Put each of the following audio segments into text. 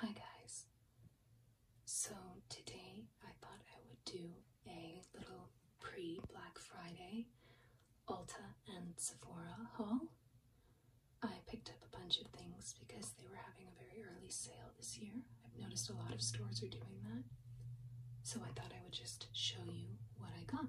Hi guys. So today I thought I would do a little pre-Black Friday Ulta and Sephora haul. I picked up a bunch of things because they were having a very early sale this year. I've noticed a lot of stores are doing that. So I thought I would just show you what I got.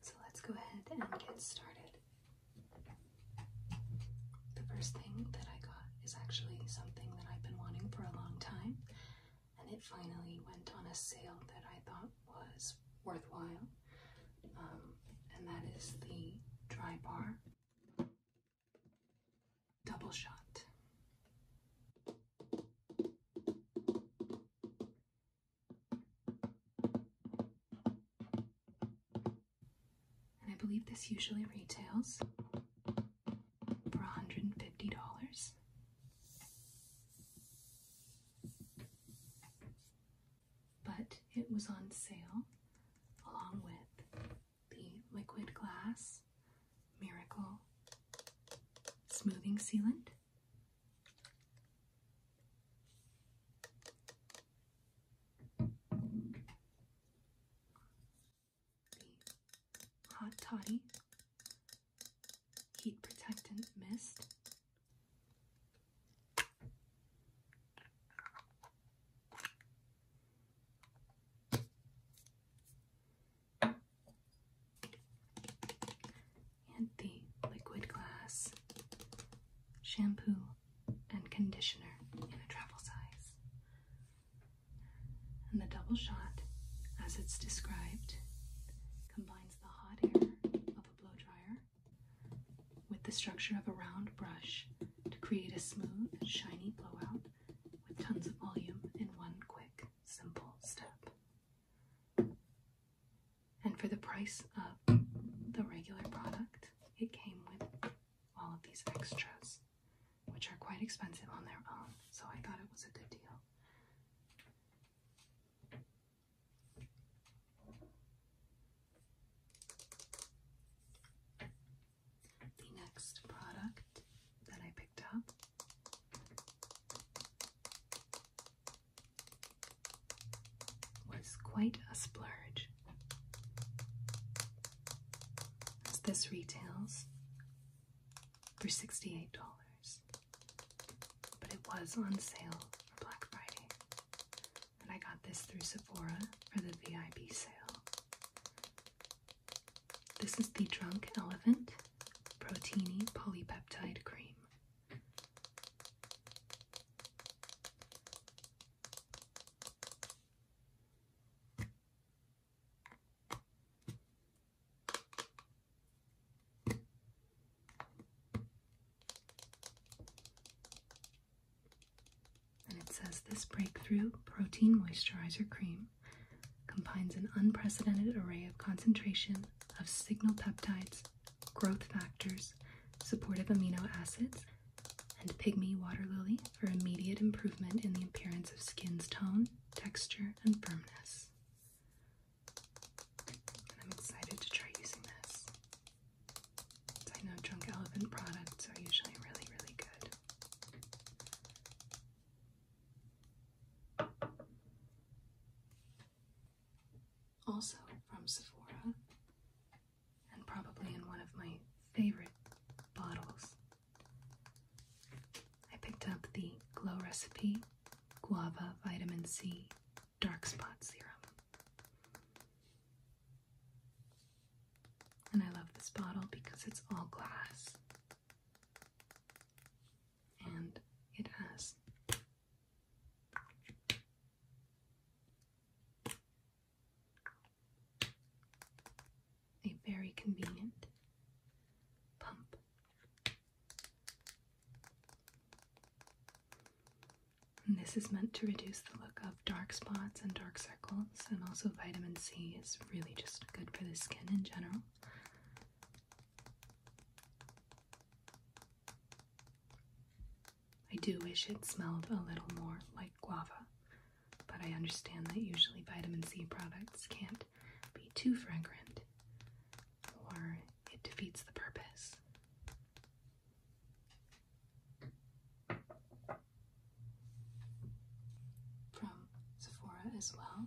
So let's go ahead and get started. The first thing that I got is actually something that I've been wanting for a long time, and it finally went on a sale that I thought was worthwhile, um, and that is the Dry Bar Double Shot and I believe this usually retails for $150. But it was on sale along with the liquid glass miracle smoothing sealant the Hot Toddy Heat Protectant Mist. And the liquid glass shampoo and conditioner in a travel size. And the double shot, as it's described, combines the hot air of a blow dryer with the structure of a round brush to create a smooth, shiny blowout with tons of volume in one quick, simple step. And for the price of the regular product, it came with all of these extras which are quite expensive on their own, so I thought it was a good deal. The next product that I picked up was quite a splurge this retails for $68, but it was on sale for Black Friday. And I got this through Sephora for the VIP sale. This is the Drunk Elephant Proteiny Polypeptide Cream. And it says this breakthrough protein moisturizer cream combines an unprecedented array of concentration of signal peptides, growth factors, supportive amino acids, and Pygmy Water Lily for immediate improvement in the appearance of skin's tone, texture, and firmness. I'm excited to try using this. I know Drunk Elephant products are usually really, really good. Also from Sephora and probably in one of my favorite bottles. I picked up the Glow Recipe Guava Vitamin C Dark Spot Serum. And I love this bottle because it's all glass. And it has a very convenient pump. And this is meant to reduce the look of dark spots and dark circles, and also vitamin C is really just good for the skin in general. I do wish it smelled a little more like guava, but I understand that usually vitamin C products can't be too fragrant or it defeats the purpose. From Sephora as well,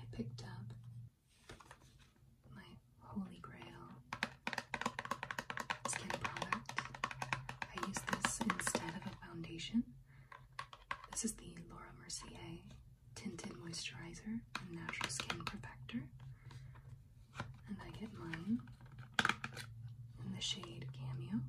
I picked up my holy grail skin product. I use this instead of a foundation. This is the Laura Mercier Tinted Moisturizer and Natural Skin Perfector. And I get mine in the shade Cameo.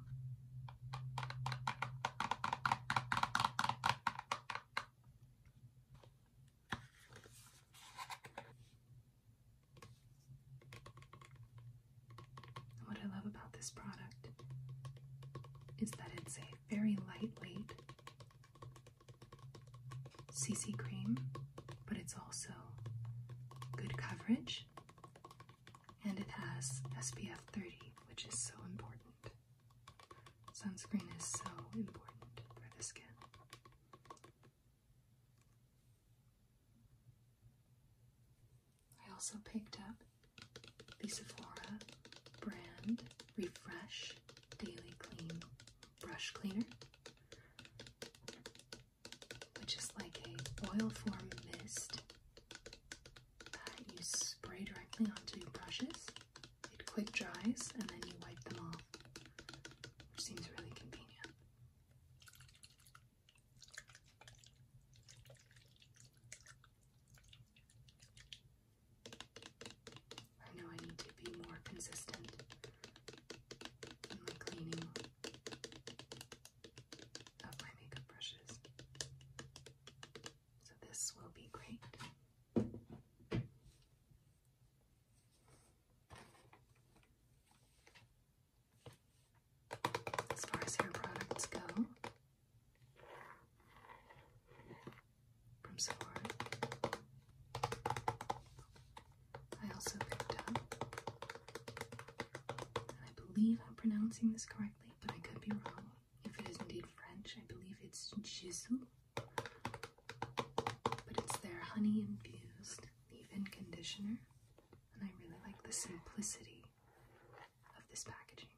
What I love about this product is that it's a very lightweight CC cream, but it's also good coverage and it has SPF 30, which is so important. Sunscreen is so important for the skin. I also picked up the Sephora brand Refresh Daily Clean Brush Cleaner, which is like a oil form mist that you spray directly onto brushes. It quick dries and then you wipe them off, which seems really convenient. I know I need to be more consistent in cleaning of my makeup brushes. So this will be great. As far as hair products go, from Sephora, I also picked up, I believe I'm pronouncing this correctly, but I could be wrong. If it is indeed French, I believe it's Jisoo. But it's their honey infused leave in conditioner, and I really like the simplicity of this packaging.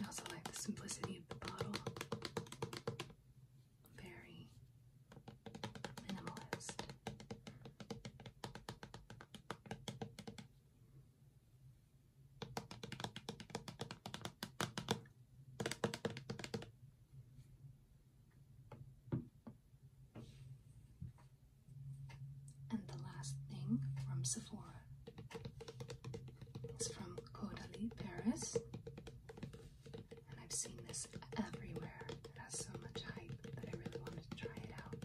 I also like the simplicity of the bottle. Very minimalist. And the last thing from Sephora is from Caudalie, Paris. And I've seen this everywhere. It has so much hype that I really wanted to try it out.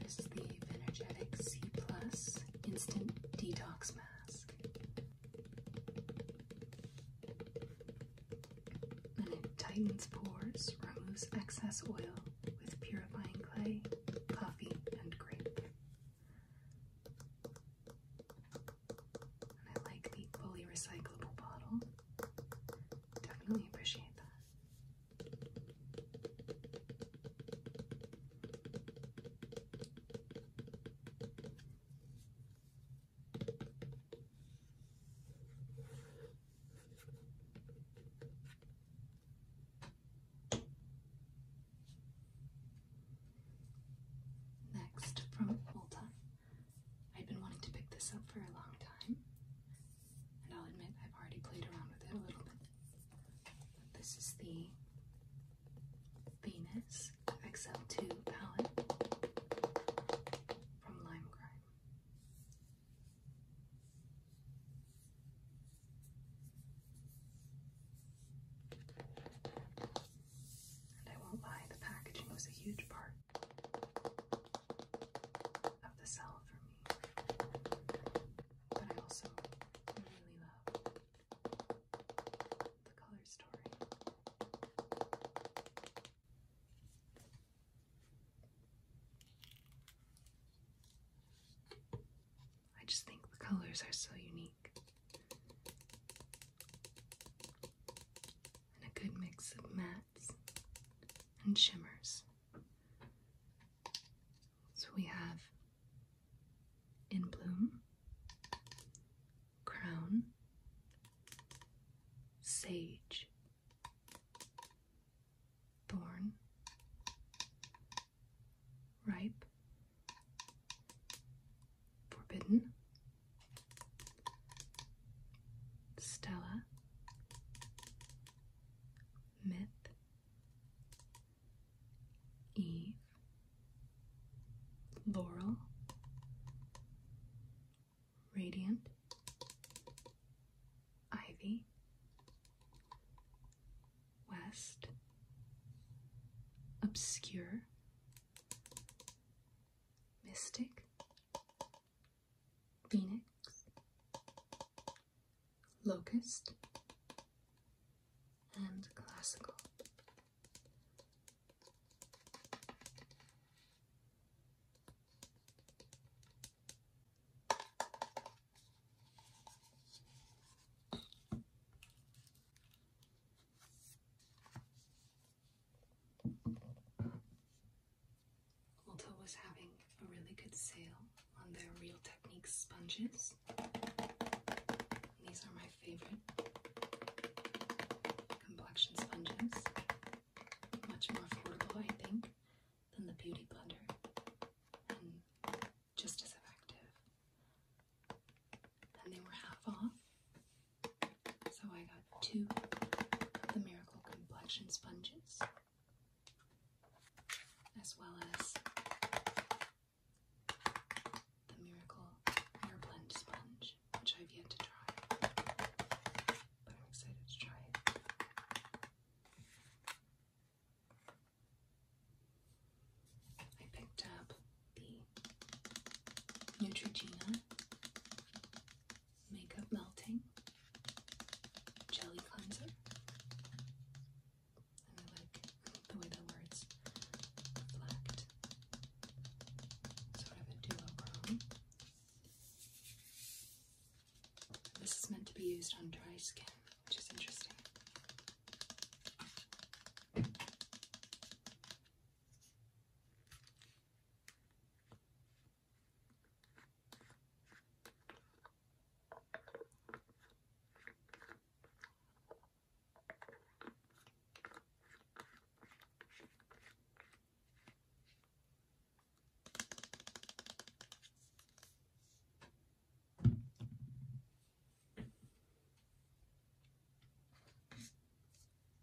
This is the Energetic C Plus Instant Detox Mask and it tightens pores, removes excess oil with purifying clay, coffee, and grape. And I like the fully recyclable bottle. Definitely appreciate that. Next, from Ulta. I've been wanting to pick this up for a long time, and I'll admit I've already played around with it a little bit. This is the Venus this XL2 palette from Lime Grime. And I won't lie, the packaging was a huge part of the sell for me. But I also really love the color story. I just think the colors are so unique. And a good mix of mattes and shimmers. So we have In Bloom, crown, sage, thorn, ripe, forbidden, Stella, myth, Eve. Laurel, Radiant, Ivy, West, Obscure, Mystic, Phoenix, Locust, and Classical. Ulta was having a really good sale on their Real Techniques sponges. These are my favorite complexion sponges. Much more affordable, I think, than the Beauty Blender, and just as effective. And they were half off, so I got two of the Miracle Complexion sponges, as well as the Miracle Hair Blend Sponge, which I've yet to try, but I'm excited to try it. I picked up the Neutrogena Makeup Melting Jelly Cleanser, the way the words reflect. Sort of a duochrome. This is meant to be used on dry skin, which is interesting.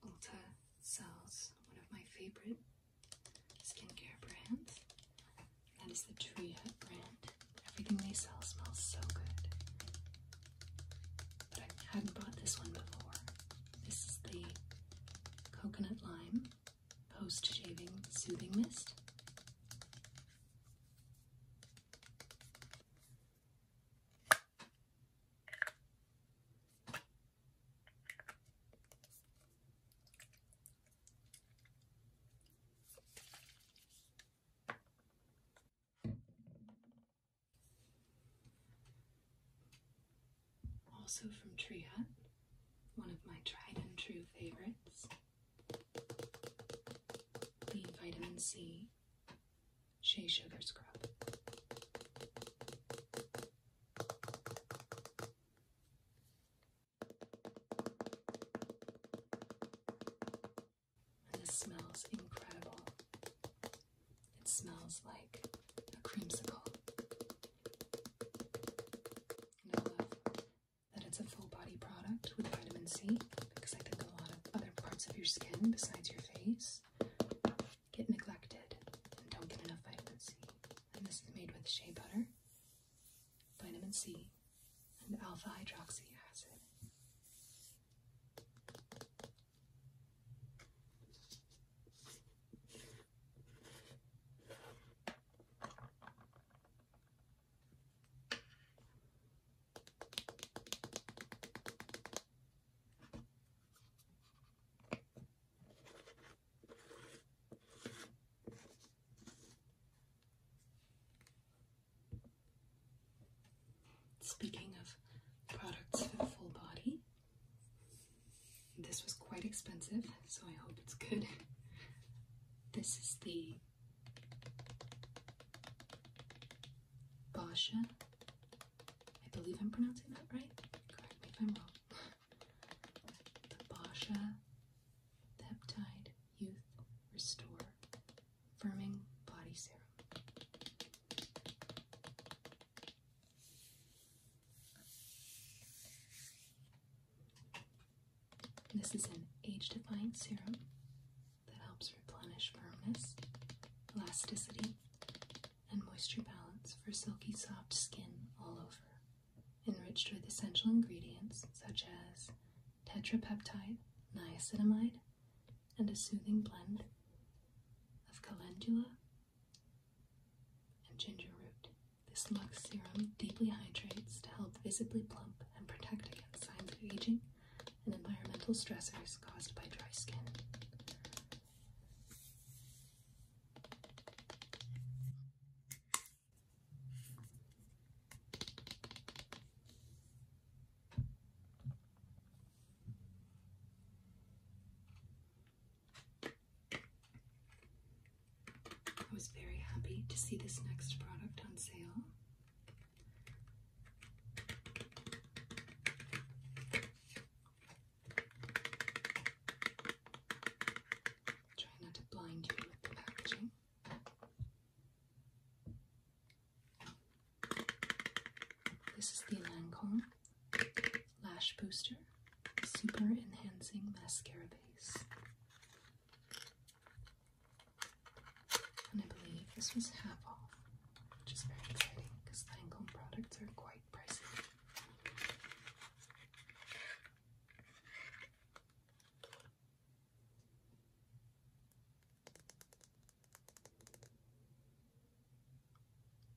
Ulta sells one of my favorite skincare brands. That is the Tree brand. Everything they sell smells so good. I hadn't bought this one before. This is the Coconut Lime Post Shaving Soothing Mist. Also from Tree Hut, one of my tried and true favorites. The Vitamin C Shea Sugar Scrub and it smells incredible. It smells like a creamsicle. And I love that it's a full body product with vitamin C because I think a lot of other parts of your skin besides your face get neglected and don't get enough vitamin C. And this is made with shea butter, vitamin C, and alpha hydroxy acid. Speaking of products for full body, this was quite expensive, so I hope it's good. This is the Basha. I believe I'm pronouncing that right. Correct me if I'm wrong. The Basha Peptide Youth Restore Firming Body Serum. This is an age defying serum that helps replenish firmness, elasticity, and moisture balance for silky soft skin all over. Enriched with essential ingredients such as tetrapeptide, niacinamide, and a soothing blend of calendula and ginger root. This Lux serum deeply hydrates to help visibly plump and protect against signs of aging and environmental stressors caused by dry skin. I was very happy to see this next product on sale. Try not to blind you with the packaging. This is the Lancome Lash Booster Super Enhancing Mascara Base. And I believe this was half off, which is very exciting because Lancome products are quite pricey.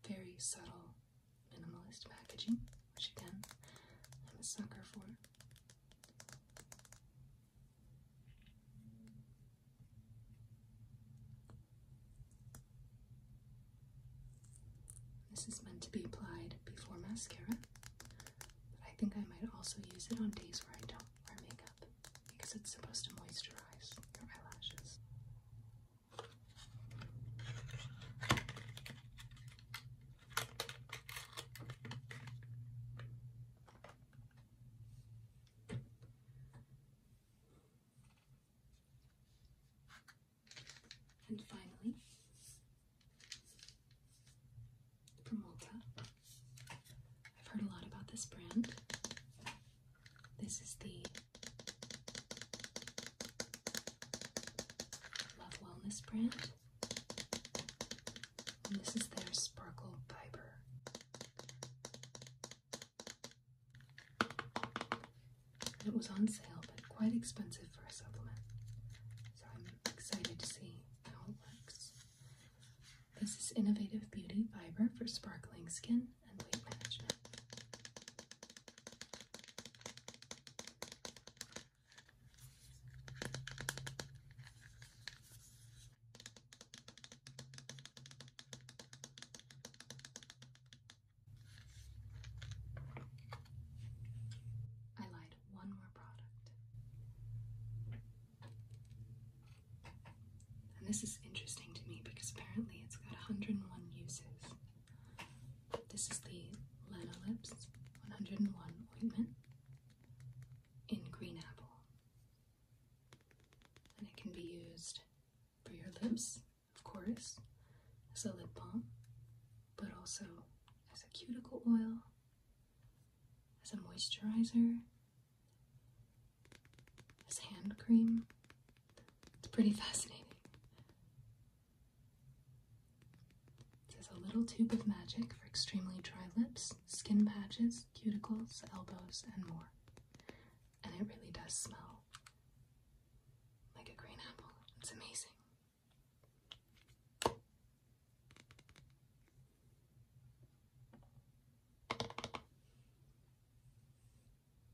Very subtle minimalist packaging, which again, I'm a sucker for. This is meant to be applied before mascara. But I think I might also use it on days where I don't wear makeup because it's supposed to moisturize your eyelashes. And finally, Promolta. I've heard a lot about this brand. This is the Love Wellness brand. And this is their Sparkle Fiber. It was on sale, but quite expensive for a supplement. So I'm excited to see how it looks. This is Innovative Beauty Fiber for sparkling skin and weight management. I lied one more product. And this is interesting to me because apparently it's got 101 uses. This is the Lenolips 101 ointment in green apple. And it can be used for your lips, of course, as a lip balm, but also as a cuticle oil as a moisturizer, as hand cream. It's pretty fascinating. It a little tube of magic for extremely dry lips, skin patches, cuticles, elbows, and more. And it really does smell like a green apple. It's amazing.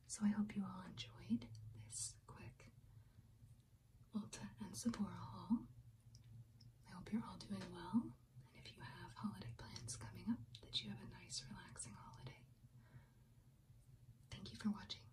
So I hope you all enjoyed this quick Ulta and Sephora haul. I hope you're all doing well, and if you have holiday plans coming up, that you have a nice, relaxing holiday. Thank you for watching.